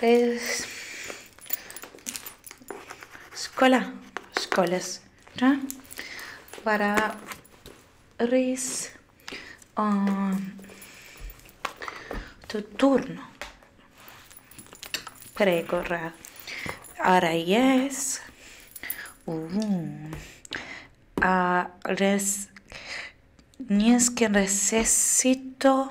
es Escola. Escolas. Tá? Para ir a um, tu turno. Prego, Ahora yes. Uh, uh-huh. a ah, res. Ni es que necesito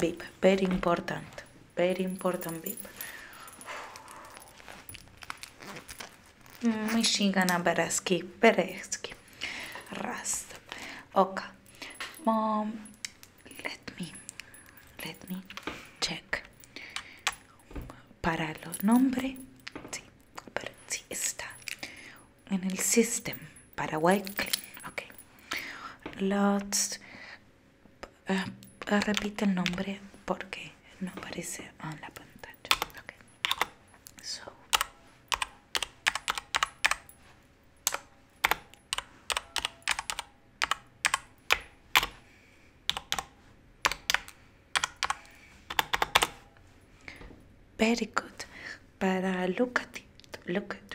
VIP, very important. Very important, babe. a baraski Bereski. Rast. Okay. Mom, um, let me, let me check. Para los nombres, sí, está en el sistema Paraguay clean, okay. Lots. Eh, repite el nombre porque no aparece en la pantalla. Okay. Very good. Para look at it, look at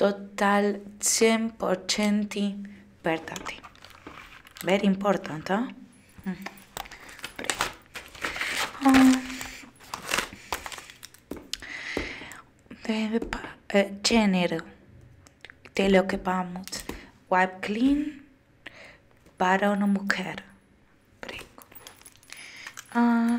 Total 100% verdade. Very important, huh? Mm. Um, uh, género de lo que vamos. Wipe clean para una mujer. Prego. Uh, ah.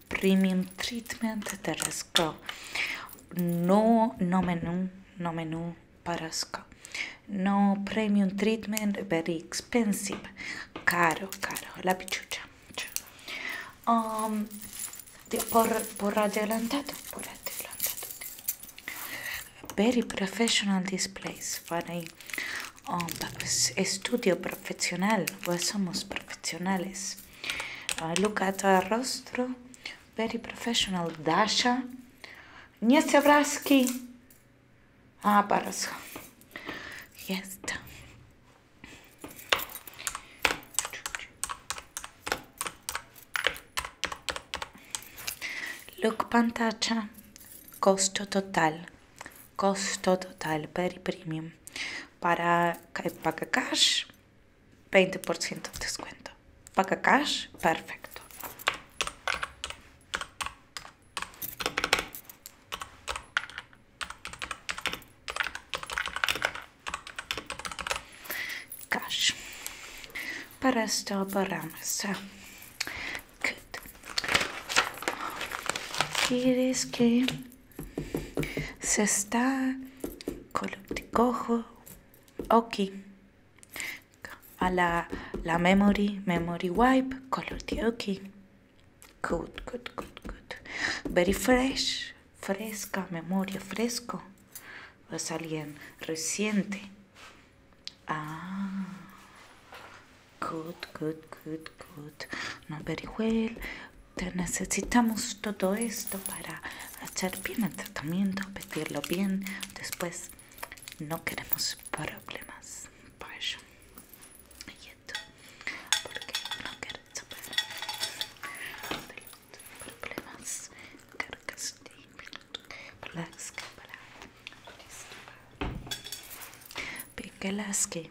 primim treatment nu No nomenu, nomenu parasco. No premium treatment, very expensive. Caro, caro, la picciuccia. Um, por, por adelantato, por adelantato. Very professional this place. Very, um, estudio profesional, pues somos profesionales. Uh, look at her rostro. Very professional, Dasha. Nie se vraski. A, pa razho. Yes. Look, pantaccia. Costo total. Costo total, very premium. Para, kaj paga cash. 20% de descuento. Paga cash, perfecto. Cash. Para esto paramos ¿Quieres que se está cojo oki. A la, la memory, memory wipe, color ok Good, good, good, good. Very fresh, fresca, memoria, fresco. a alguien reciente. Ah. Good, good, good, good. Not very well. Te necesitamos todo esto para hacer bien el tratamiento, vestirlo bien. Después no queremos problemas. Por eso. Y esto, porque no queremos problemas. Cargas de las que para. Palax que.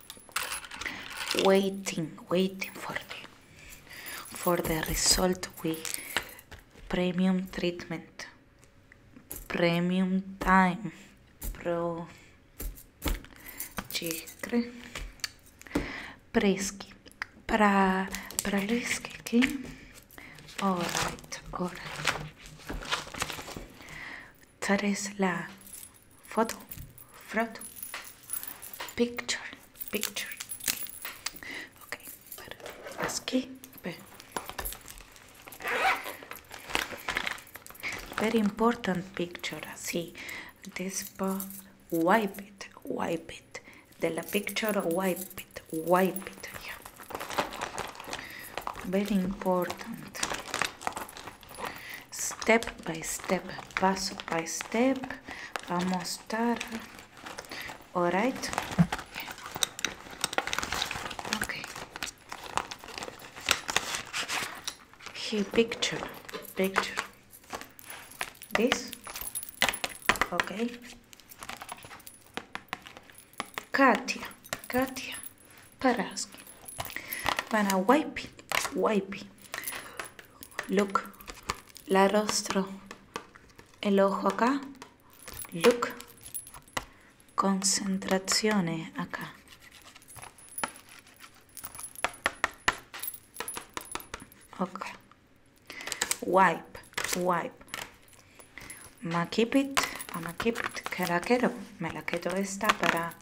waiting waiting for the for the result with premium treatment premium time pro чикры прески про пролиски all right all right tres la photo photo picture picture ok per aschi per very important picture sì despa wipe it wipe it della picture wipe it wipe it yeah. very important step by step, paso by step, vamos estar, alright? Okay. Here, picture, picture. This, okay. Katia, Katia, Paraski. Para wipe, wipe. Look, la rostro, el ojo acá. Look, concentraciones acá. Ok. Wipe, wipe. Ma keep it, ma keep it. Que la quiero, Me la quedo esta para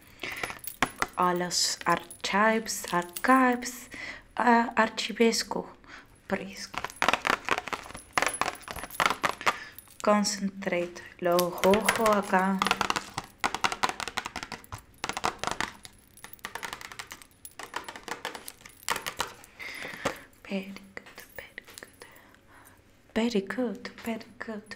a los archives, archives, a uh, archivesco, Concentrate, lo rojo acá. Very good, very good, very good, very good.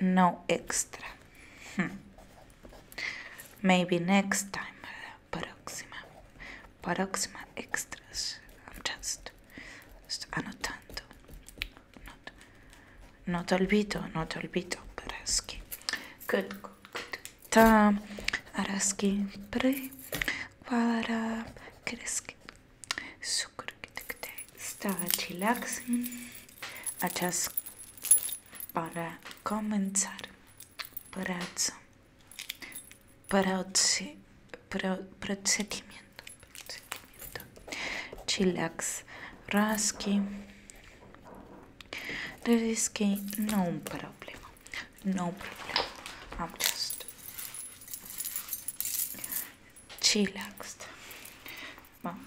no extra hmm. maybe next time prossima prossima extras I'm just sto ah, annotando not, not olvido not olvido Paraski good good good ta Araski pre para cresci Start relaxing, adjust para comenzar, brazo, procedimiento, procedimiento, chillax, raski, there is no problem, no problem, I'm just chillaxed. Vamos.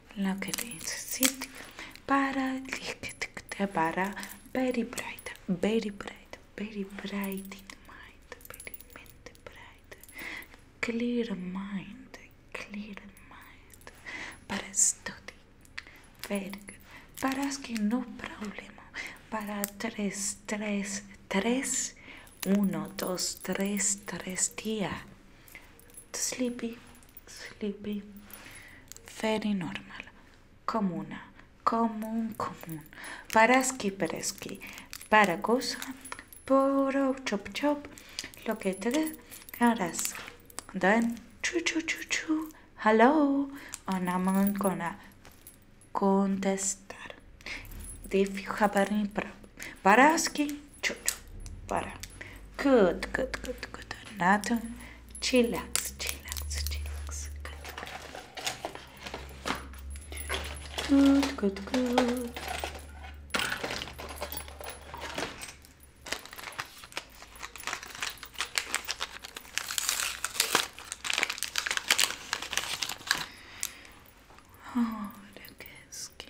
para para very bright very bright very bright in mind very mente bright clear mind clear mind para study very good para asking no problem para tres tres tres uno dos tres tres día sleepy, sleepy, very normal, comuna, común, común, paraski, pereski, para cosa, poro, chop, chop, lo que te dé, caras, then, chu, chu, chu, chu, hello, and i gonna contestar. If you have any problem, paraski, chu, chu, para. Good, good, good, good, nothing chillax, chillax, chillax. Good, good, good. Oh, look skin.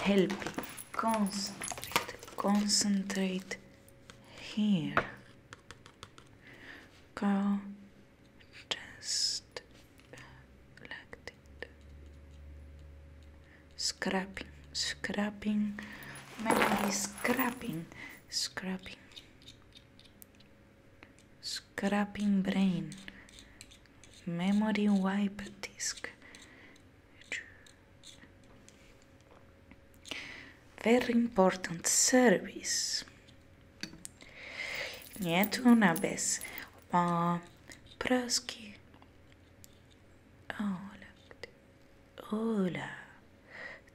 helping. Concentrate, concentrate here. Go just collected. Scrapping, scrapping, memory scrapping, scrapping, scrapping brain, memory wipe disk very important service. Nie tu na bez. Ma Oh, look. Hola.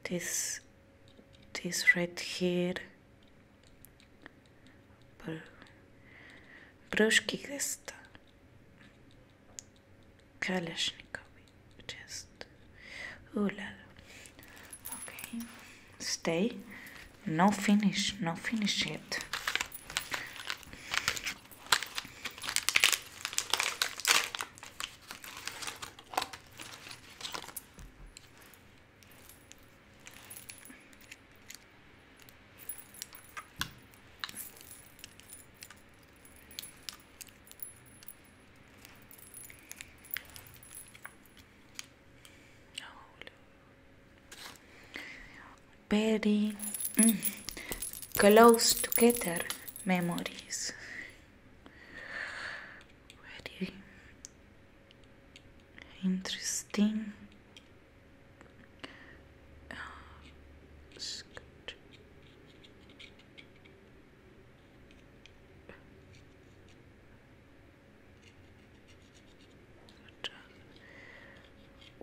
This, this right here. Broski gesta. Kalashnikov just Ulad. Okay, stay. No finish, no finish yet. Very mm, close together memories. Very interesting.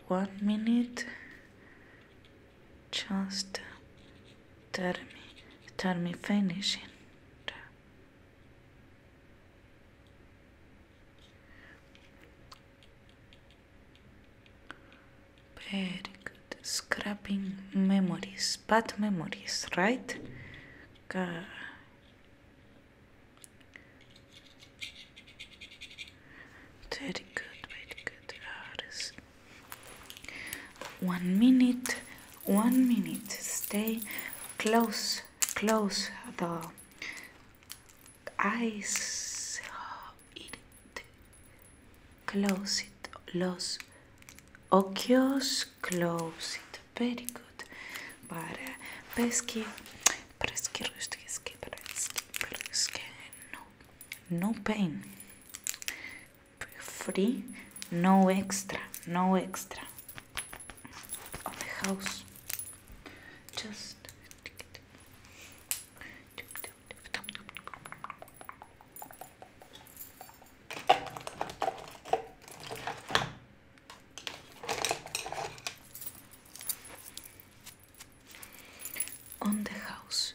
one minute just tell me tell me finishing very good. Scrapping memories, bad memories, right? Very good, very good. One minute, one minute. Stay close, close the eyes, Close it. Los ojos close it. Very good. Para No, no pain. Free, no extra, no extra. house. Just on the house.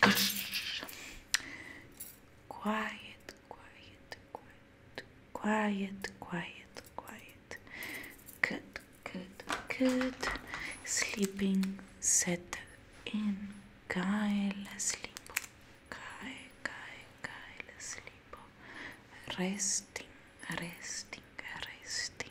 Quiet, quiet, quiet, quiet, quiet, quiet. Good, good, good. Sleeping, settle in. Geil, sleep. Geil, geil, geil, sleep. Resting, resting, resting.